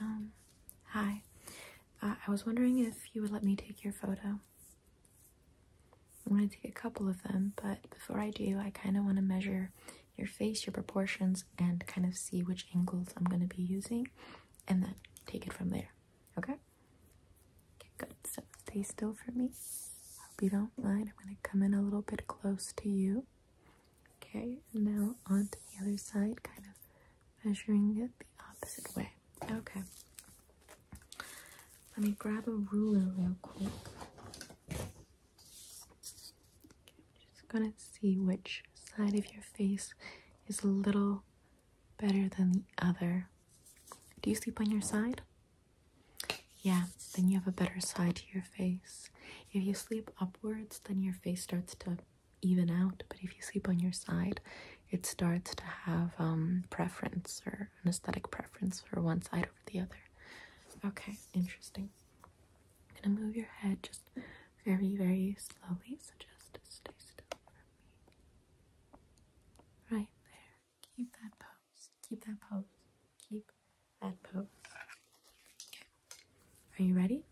Um, hi. Uh, I was wondering if you would let me take your photo. I'm going to take a couple of them, but before I do, I kind of want to measure your face, your proportions, and kind of see which angles I'm going to be using, and then take it from there. Okay? Okay, good. So stay still for me. Hope you don't mind. I'm going to come in a little bit close to you. Okay, now on to the other side, kind of measuring it the opposite way. Okay. Let me grab a ruler real quick. just gonna see which side of your face is a little better than the other. Do you sleep on your side? Yeah, then you have a better side to your face. If you sleep upwards, then your face starts to even out, but if you sleep on your side, it starts to have um, preference or an aesthetic preference for one side over the other. Okay, interesting. gonna move your head just very, very slowly, so just stay still for me. Right there. Keep that pose. Keep that pose. Keep that pose. Are you ready?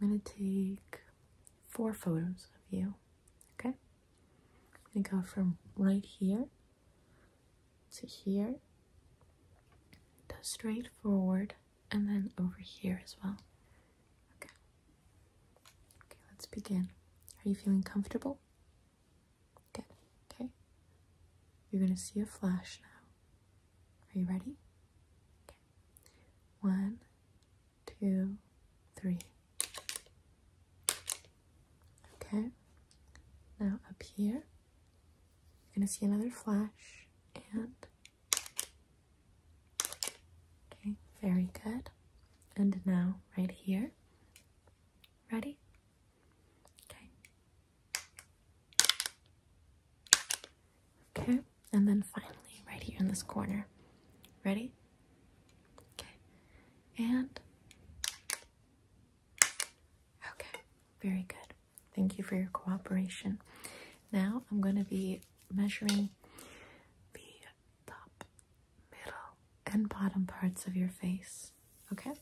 I'm going to take four photos of you. Okay? I'm going to go from right here to here to straight forward and then over here as well. Okay. Okay, let's begin. Are you feeling comfortable? Good. Okay. You're going to see a flash now. Are you ready? Okay. One, two, three. Okay. Now up here, you're going to see another flash and Okay, very good. And now, right here. Ready? Okay. Okay, and then finally, right here in this corner. Ready? Okay, and okay, very good. Thank you for your cooperation. Now I'm going to be measuring the top, middle, and bottom parts of your face. Okay?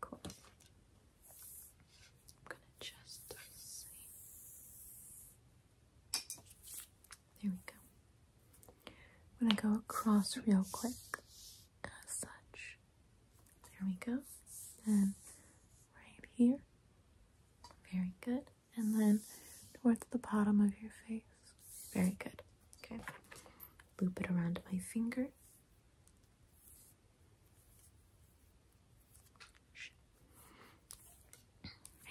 Cool. I'm gonna just see. There we go. i go across real quick, as such. There we go. And right here. Very good and then towards the bottom of your face. Very good. Okay. Loop it around my finger.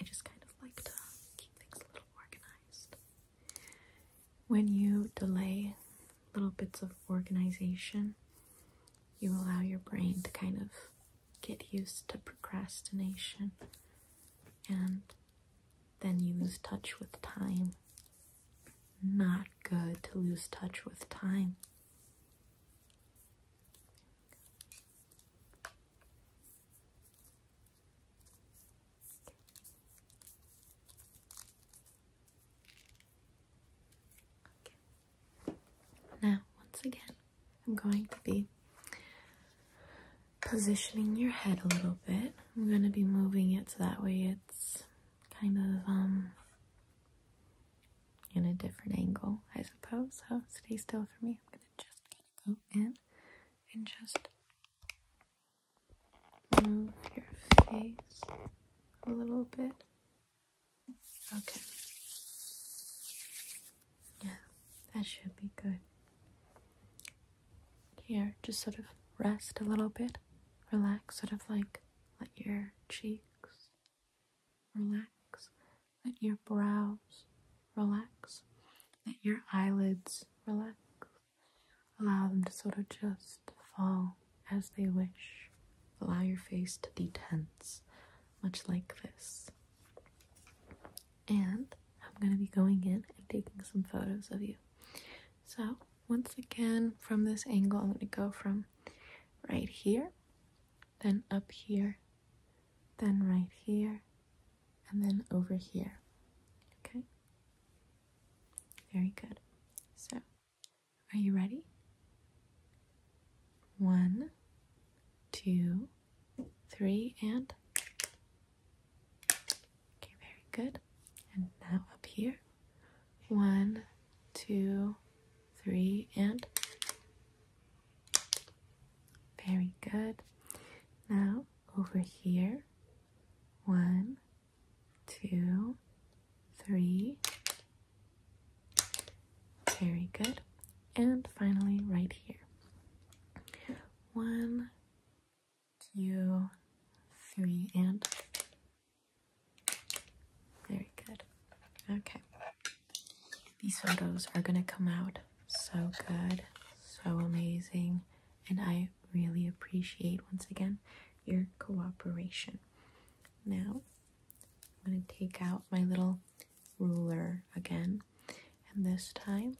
I just kind of like to keep things a little organized. When you delay little bits of organization, you allow your brain to kind of get used to procrastination and then you lose touch with time. Not good to lose touch with time. Now, once again, I'm going to be positioning your head a little bit. I'm going to be moving it so that way it's kind of um in a different angle, I suppose. So stay still for me. I'm gonna just gonna go in and just move your face a little bit. Okay. Yeah, that should be good. Here, just sort of rest a little bit, relax, sort of like let your cheeks relax, let your brows relax, let your eyelids relax. Allow them to sort of just fall as they wish. Allow your face to be tense, much like this. And I'm going to be going in and taking some photos of you. So, once again, from this angle, I'm going to go from right here, then up here, then right here, and then over here. Okay? Very good. So, are you ready? One, two, three, and. Okay, very good. And now up here. One, two, three, and. Very good. Now over here. One, two, three. Very good and finally right here. One, two, three, and very good. Okay. These photos are gonna come out so good, so amazing, and I really appreciate once again your cooperation. Now, I'm gonna take out my little ruler again. And this time,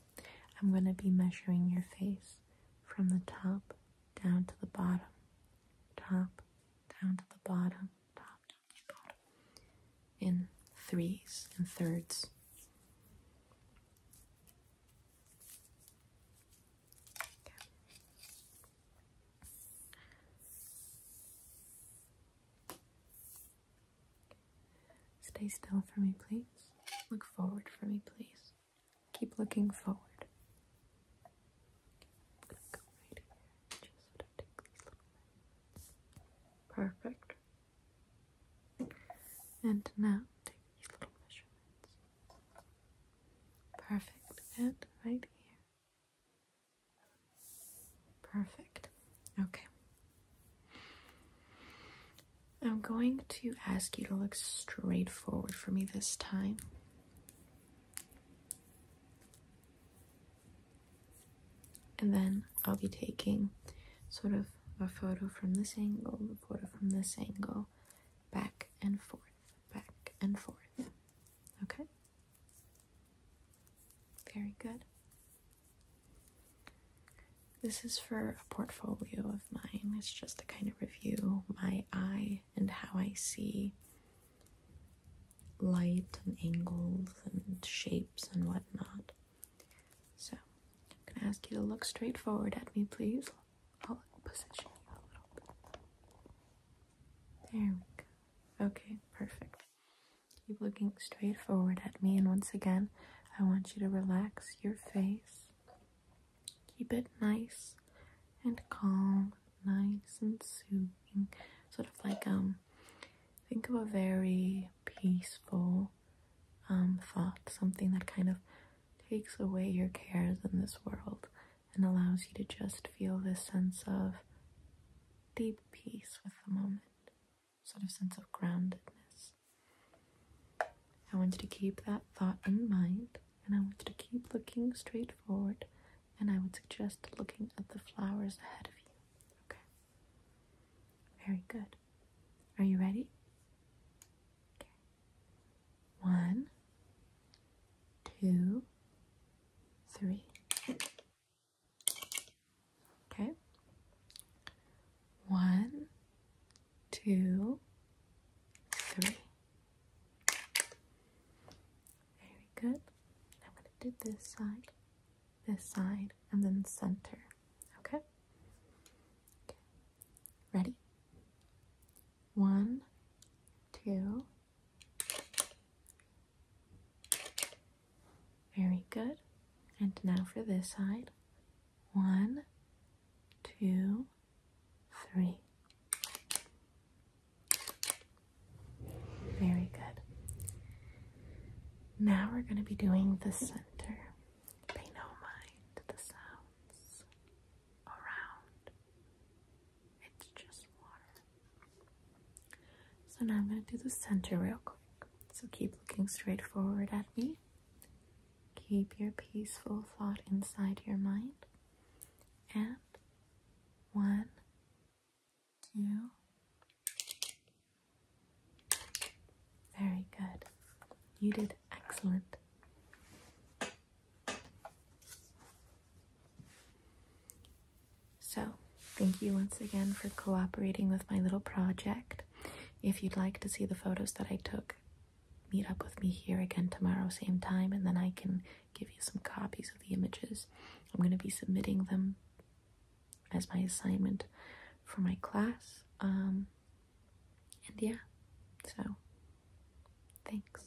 I'm going to be measuring your face from the top down to the bottom. Top, down to the bottom, top, down to the bottom. In threes and thirds. Stay still for me, please. Look forward for me, please. Keep looking forward. Perfect. And now take these little measurements. Perfect. And right here. Perfect. Okay. I'm going to ask you to look straight forward for me this time. And then I'll be taking sort of a photo from this angle, a photo from this angle, back and forth, back and forth. Okay? Very good. This is for a portfolio of mine. It's just to kind of review my eye and how I see light and angles and shapes and whatnot. So I'm gonna ask you to look straight forward at me, please. I'll position you a little bit. There we go. Okay, perfect. Keep looking straight forward at me, and once again, I want you to relax your face. Keep it nice and calm, nice and soothing. Sort of like, um, think of a very peaceful um, thought, something that kind of takes away your cares in this world and allows you to just feel this sense of deep peace with the moment, sort of sense of groundedness. I want you to keep that thought in mind, and I want you to keep looking straight forward, and I would suggest looking at the flowers ahead of you. Okay? Very good. Are you ready? Okay. One, two, three. Okay. One, two, three. Very good. I'm going to do this side, this side, and then center. okay. Ready? One, two, very good. And now for this side. One, two, three. Very good. Now we're going to be doing the center. Pay no mind the sounds around it's just water. So now I'm going to do the center real quick. So keep looking straight forward at me. Keep your peaceful thought inside your mind. And one, two. Very good. You did excellent. So, thank you once again for cooperating with my little project. If you'd like to see the photos that I took, meet up with me here again tomorrow, same time, and then I can give you some copies of the images. I'm going to be submitting them as my assignment for my class. Um, and yeah, so thanks.